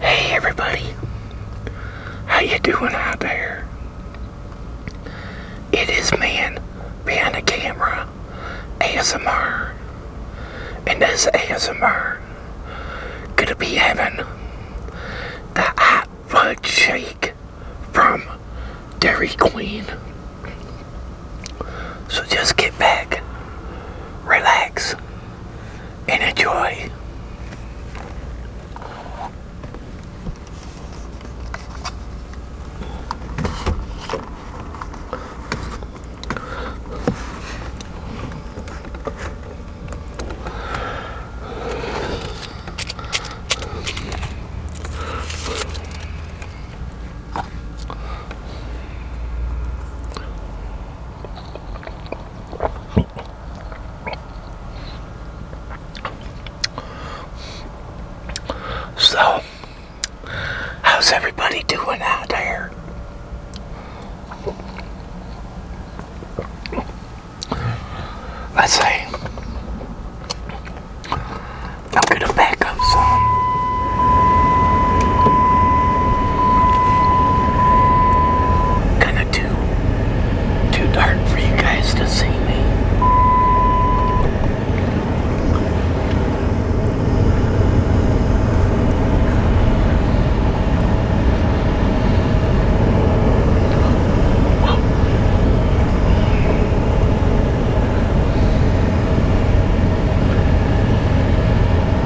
Hey everybody, how you doing out there? It is man behind the camera, ASMR, and this ASMR gonna be having the hot fudge shake from Dairy Queen. So just get back, relax, in a joy. So, how's everybody doing out there? Let's see. I'm gonna back up some. Kinda too, too dark for you guys to see me.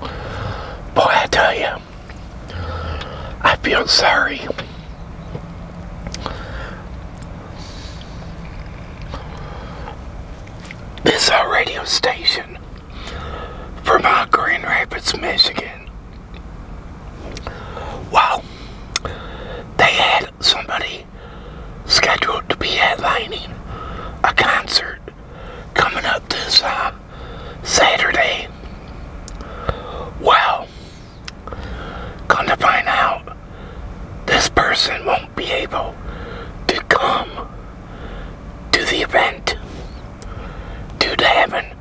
Boy, I tell you, I feel sorry. This our radio station from Mount Grand Rapids, Michigan. Wow, they had somebody scheduled to be headlining a concert coming up this um, Saturday. Well, come to find out, this person won't be able to come to the event due to having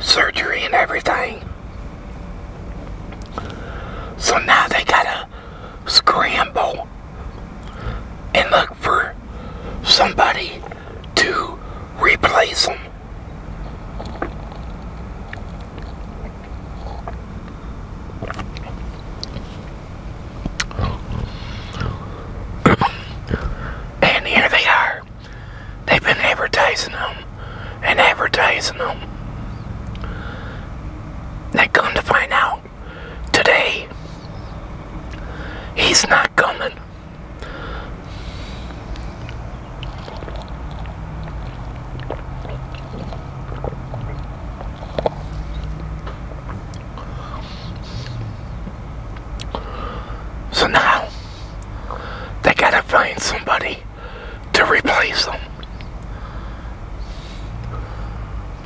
surgery and everything. So now they gotta scramble and look for somebody to replace them. and here they are. They've been advertising them and advertising them. They are going to find out today. He's not coming. So now they gotta find somebody to replace them.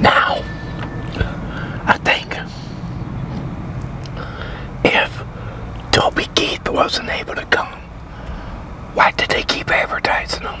Now, I think if Toby Keith wasn't able to come, why did they keep advertising him?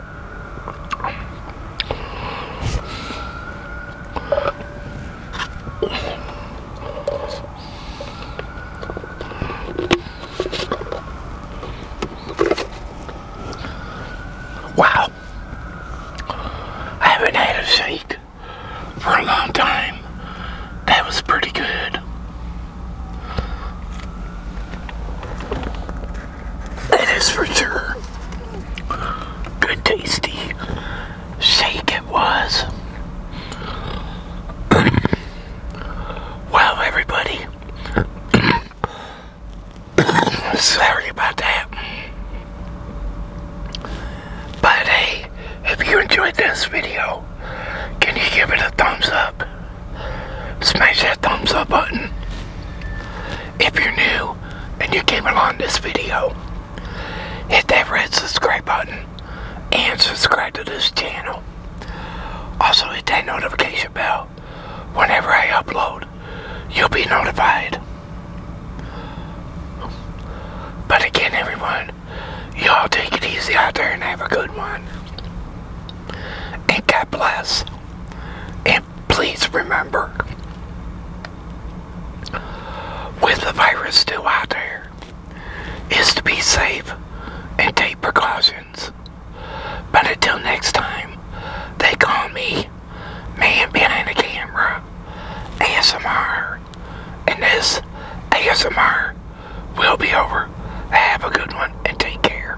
Wow. I haven't had a shake for a long time. That was pretty good. That is for sure. Good tasty shake it was. well, everybody. Sorry about that. But hey, if you enjoyed this video, can you give it a thumbs up? Smash that thumbs up button. If you're new, and you came along this video, hit that red subscribe button and subscribe to this channel. Also hit that notification bell. Whenever I upload, you'll be notified. But again, everyone, y'all take it easy out there and have a good one. And God bless. And please remember, with the virus still out there, is to be safe and take precautions. But until next time, they call me Man Behind the Camera, ASMR, and this ASMR will be over. Have a good one and take care.